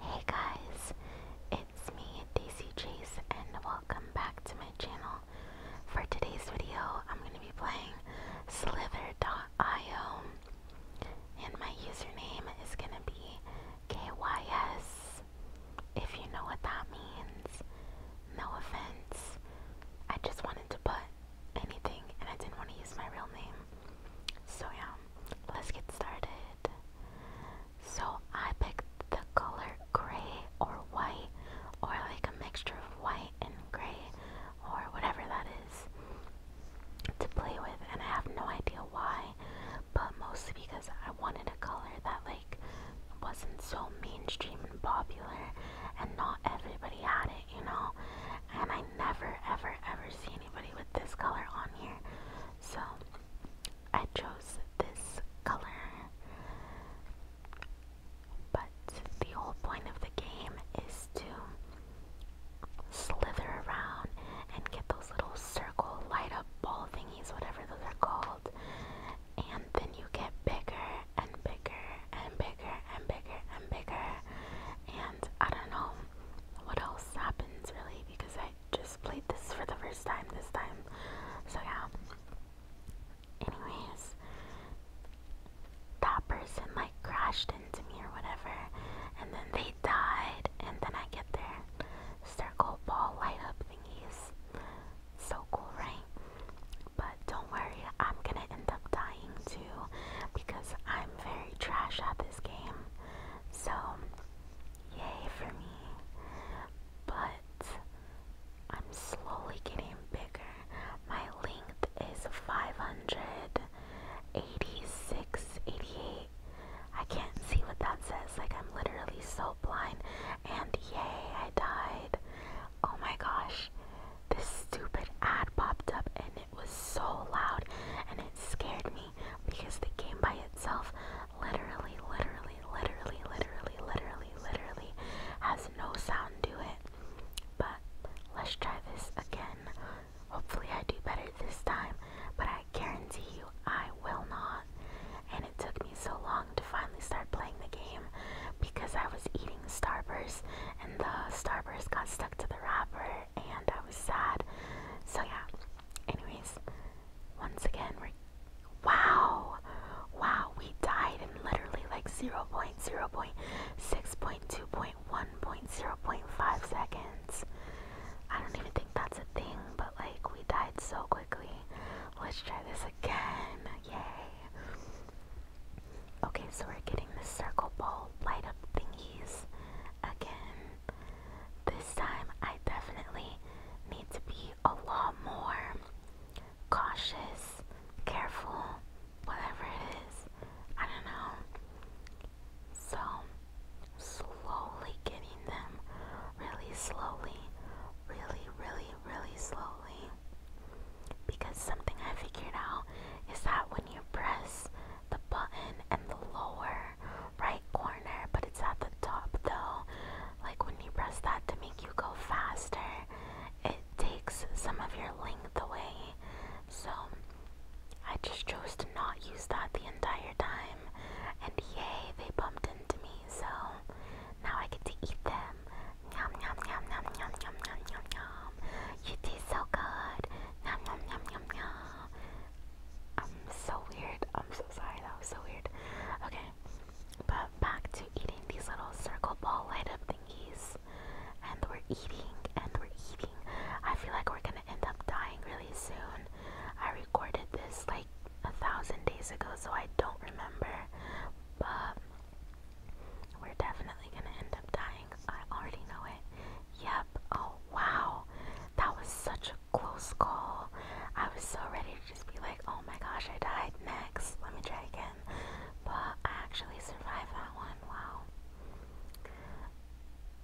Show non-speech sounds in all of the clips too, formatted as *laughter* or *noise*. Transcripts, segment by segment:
Hey guys, it's me Daisy Chase and welcome back to my channel. For today's video, I'm going to be playing Slither.io and my username is going to be KYS, if you know what that means. No offense, I just wanted to put anything and I didn't want to use my real name. So yeah, let's get started. So I picked the color gray or white, or like a mixture of white and gray, or whatever that is, to play with. And I have no idea why, but mostly because I wanted a color that like wasn't so mainstream and popular, and not everybody had it, you know. And I I never ever ever see anybody with this color on here. So I chose this color. But the whole point of the game is to slither around and get those little circle light up ball thingies, whatever those are called. And then you get bigger and bigger and bigger and bigger and bigger. I don't know what else happens really because I just played this for the first time this time. So yeah. Anyways, that person like crashed into me or whatever, and then they died, and then I get there. circle ball light up thingies. So cool, right? But don't worry, I'm gonna end up dying too because I'm very trash at this this game. So, yay for me. But I'm slowly getting bigger. My length is 586, 88. I can't see what that says. Like, I'm literally so blind. And yay, I died. Oh my gosh. This stupid ad popped up and it was so loud and it scared me because the game by itself literally, literally, literally, literally, literally, literally has no sound to it. But let's try this again. Hopefully, I do better this time, but I guarantee you I will not. And it took me so long to finally start playing the game because I was eating Starburst and the Starburst got stuck to the wrapper and I was sad. So yeah. Anyways, once again, we wow, wow, we died in literally like 0 0.6.2.1.0.5 seconds. I don't even think that's a thing, but like we died so quickly. Let's try this again. Yay. Okay, so we're getting the circle ball light up thingies again. This time I definitely need to be a lot more cautious, careful, whatever it is. I don't know. So, slowly getting them, really slowly, really, really, really slowly. Because something I figured out is that when you press the button in the lower right corner, but it's at the top though. Like when you press that to make you go faster, it takes some of your length away. So I just chose to not use that the entire time. And yay, they bumped into me, so now I get to eat them. Yum yum yum yum yum yum yum yum yum. You taste so good. Yum yum yum yum yum. I'm so weird. I'm so sorry. That was so weird. Okay, but back to eating these little circle ball light up thingies, and we're eating and we're eating. I feel like we're gonna end up dying really soon. I recorded this like a thousand days ago, so I don't remember, but we're definitely gonna end up dying. I already know it. Yep. Oh, wow. That was such a close call. I was so ready to just be like, oh my gosh, I died. Next. Let me try again. But I actually survived that one. Wow.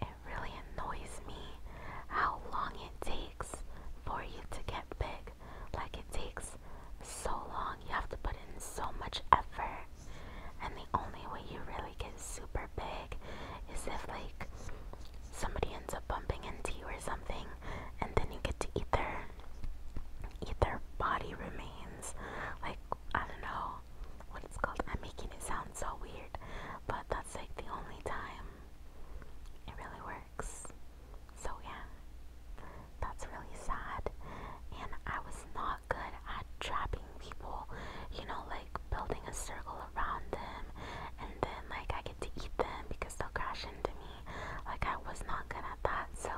It really annoys me how long it takes for you to get big. Like, it takes so long. You have to put in so much effort and the only way you really get super big is if, like, somebody ends up bumping into you or something, and then you get to eat their, eat their body remains. Like, I don't know what it's called. I'm making it sound so weird, but that's like the only time it really works. So, yeah, that's really sad. And I was not good at trapping people, you know, like building a circle around them, and then like I get to eat them because they'll crash into me. Like I was not good at that, so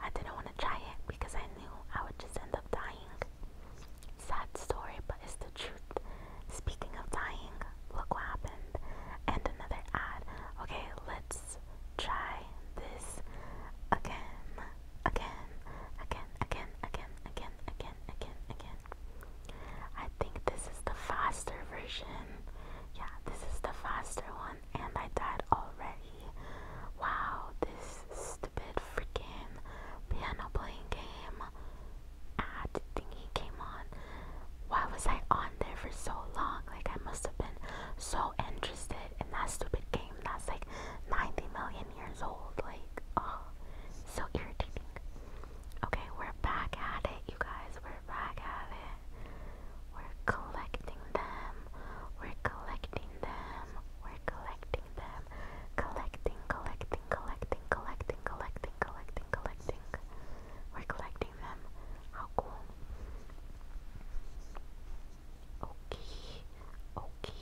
I didn't want to try it because I knew I would just end up dying. Sad story, but it's the truth. Speaking of dying, look what happened. And another ad. Okay, let's try this again again, again, again, again, again, again, again, again. I think this is the faster version. Yeah, this is the faster one, and I died already. Wow, this stupid freaking piano playing game ad thingy came on. Why was I on there for so long? Like, I must have been so interested in that stupid game that's like 90 million years old. Like, oh, so irritating. Okay, we're back at it, you guys. We're back at it. We're collecting them. We're collecting them. We're collecting them. Collecting, collecting, collecting, collecting, collecting, collecting, collecting. We're collecting them. How cool. Okay, okay,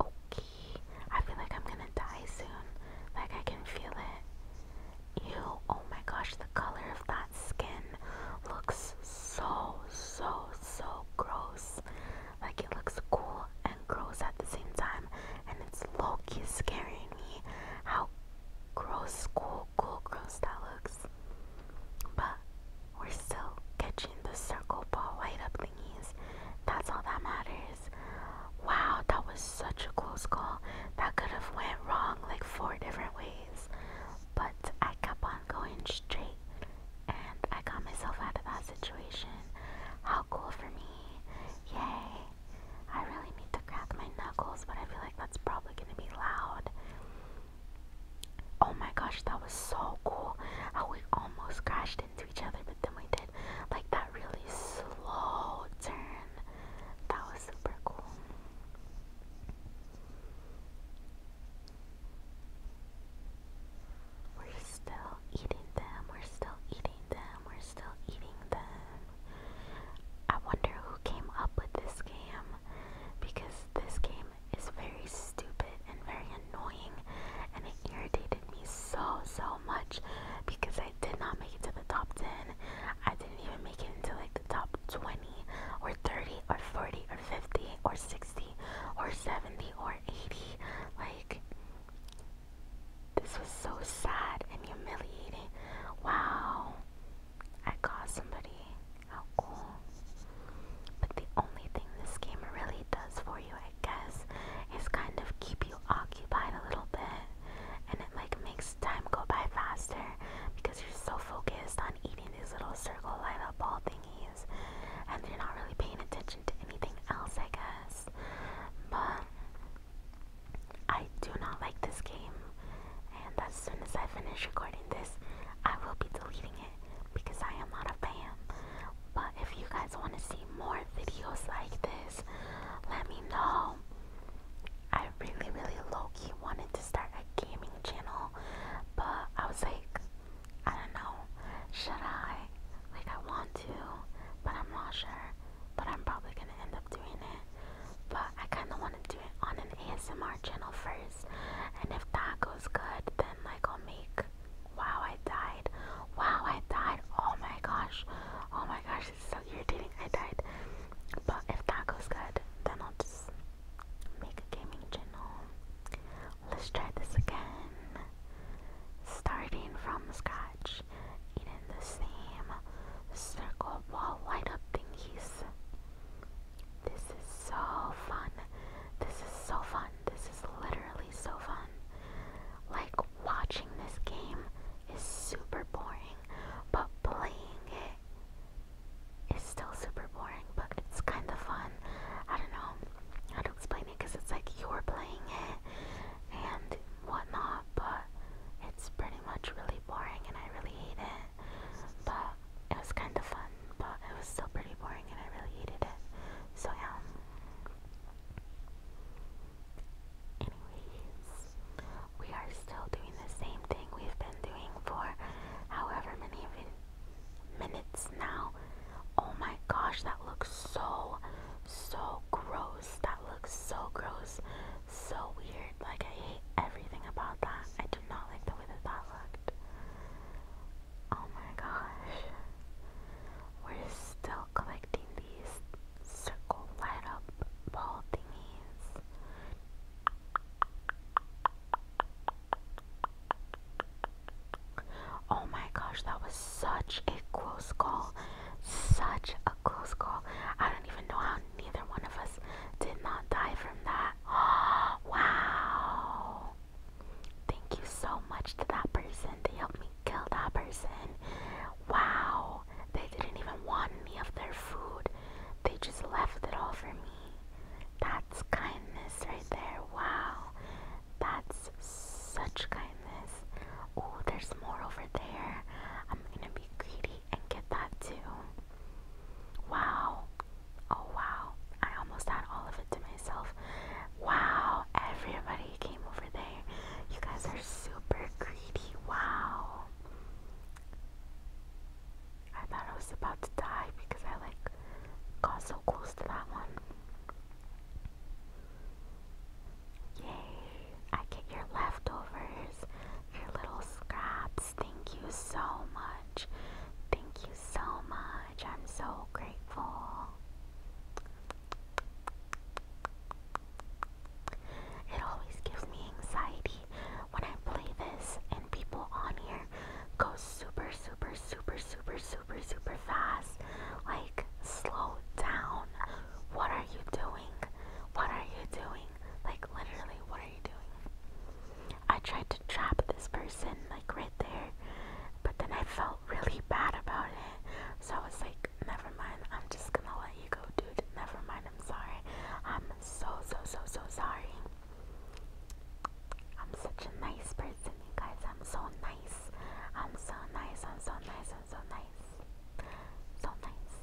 okay. I feel like I'm gonna die soon. Like I can feel it. Ew, oh my gosh, the color of that skin looks so, so, so gross. Like it looks cool and gross at the same time. And it's low scaring me how gross, cool, cool, gross that looks. But we're still catching the circle ball right up thingies. That's all that matters. Wow, that was such a close call. That could have went wrong like four different ways. But I kept on going straight and I got myself out of that situation. How cool for me. Yay. I really need to crack my knuckles, but I feel like that's probably gonna be loud. Oh my gosh, that was so cool. How we almost crashed into each other, but then we did like that really slow turn. That was super cool. We're still eating them, we're still eating them, we're still eating them. I wonder who came up with this game because this game it's very stupid and very annoying, and it irritated me so, so much because I did not make it to the top 10. I didn't even make it into like the top 20 or 30 or 40 or 50 or 60 or 70 or 80. Like, this was so sad and humiliating. Wow, I caused somebody how cool. But the only thing this game really does for you, I guess, is kind of keep you occupied a little bit. And it like makes time go by faster because you're so focused on eating these little circle light up ball thingies. And you're not really paying attention to anything else, I guess. But I do not like this game. And as soon as I finish recording this, I will be deleting it because I am not a fan. But if you guys want to see more videos like this, let me know. I really, really low key wanted to start a gaming channel, but I was like, I don't know, should I? Like, I want to, but I'm not sure. But I'm probably gonna end up doing it. But I kind of want to do it on an ASMR channel first. And if that goes good, then like I'll make. Wow, I died. Wow, I died. Oh my gosh. Oh my gosh, it's so irritating. I died. But if that goes good, then I'll just make a gaming channel. Let's try this again. Starting from scratch. Eating the same circle wall light up thingies. This is so fun. This is so fun. This is literally so fun. Like, watching this game is super boring, but playing it is still super boring, but it's kind of fun. I don't know how to explain it because it's like you're playing it and whatnot, but it's pretty much really boring and I really hate it. But it was kind of fun, but it was still pretty boring and I really hated it. So, yeah. Um, anyways, we are still doing the same thing we've been doing for however many minutes now. Oh my gosh, that looks so, so gross. That looks so gross. So weird. Like, I hate everything about that. I do not like the way that that looked. Oh my gosh. We're still collecting these circle light up ball thingies. Oh my gosh, that was such a close call. Such a close call. I don't even know how neither one of us did not die from that. *gasps* wow. Thank you so much to that person. They helped me kill that person. Wow. They didn't even want any of their food. They just left it all for me. That's kindness right there. Wow. That's such kindness. Oh, there's more over there. I'm gonna be greedy and get that too. Wow. Oh wow, I almost had all of it to myself. Wow, everybody came over there. You guys are super greedy. Wow. I thought I was about to die because I like got so close to that one. Yay! I get your leftovers, your little scraps thank you so much. Thank you so much. I'm so grateful. It always gives me anxiety when I play this and people on here go super, super, super, super, super, super fast. Like, slow down. What are you doing? What are you doing? Like, literally, what are you doing? I tried to trap this person like right there, but then I felt really bad about it. So I was like, never mind, I'm just gonna let you go, dude. Never mind, I'm sorry. I'm so, so, so, so sorry. I'm such a nice person, you guys. I'm so nice. I'm so nice. I'm so nice. I'm so nice. So nice.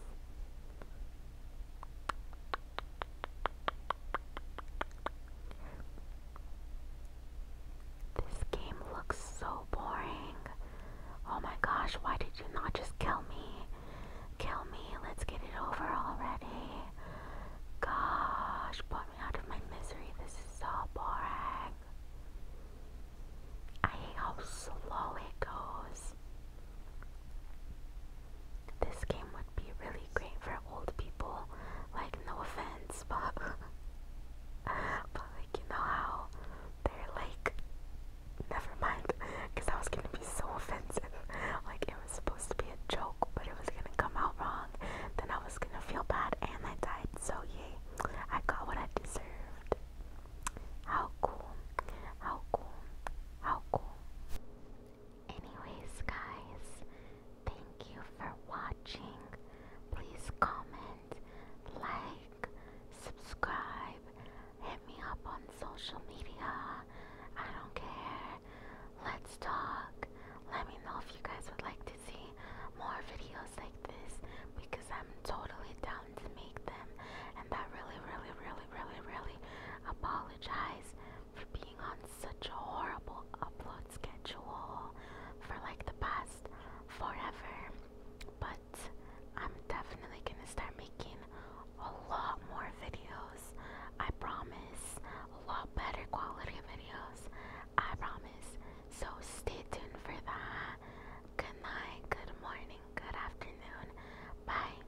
This game looks so boring. Oh my gosh, why did you not just kill me? Kill me, let's get it over already. Gosh, put me out of my misery. This is so boring. I hate how slow it goes. This game would be really great for old people. Like, no offense, but, *laughs* but like, you know how they're like, never mind, because I was gonna be so offensive. Like, it was supposed to be a joke, but it was gonna come out wrong. Then I was gonna feel bad, and I died. So yay, I got what I deserved. How cool! How cool! How cool! Anyways, guys, thank you for watching. Please comment, like, subscribe, hit me up on social media. I don't care. Let's talk. Let me know if you guys would like to see more videos like this because I'm totally down to make them. And I really, really, really, really, really apologize for being on such a horrible upload schedule for like the past forever, but I'm definitely gonna start making a lot more videos. I promise, a lot better quality videos. I promise. So stay tuned for that. Good night, good morning, good afternoon. Bye.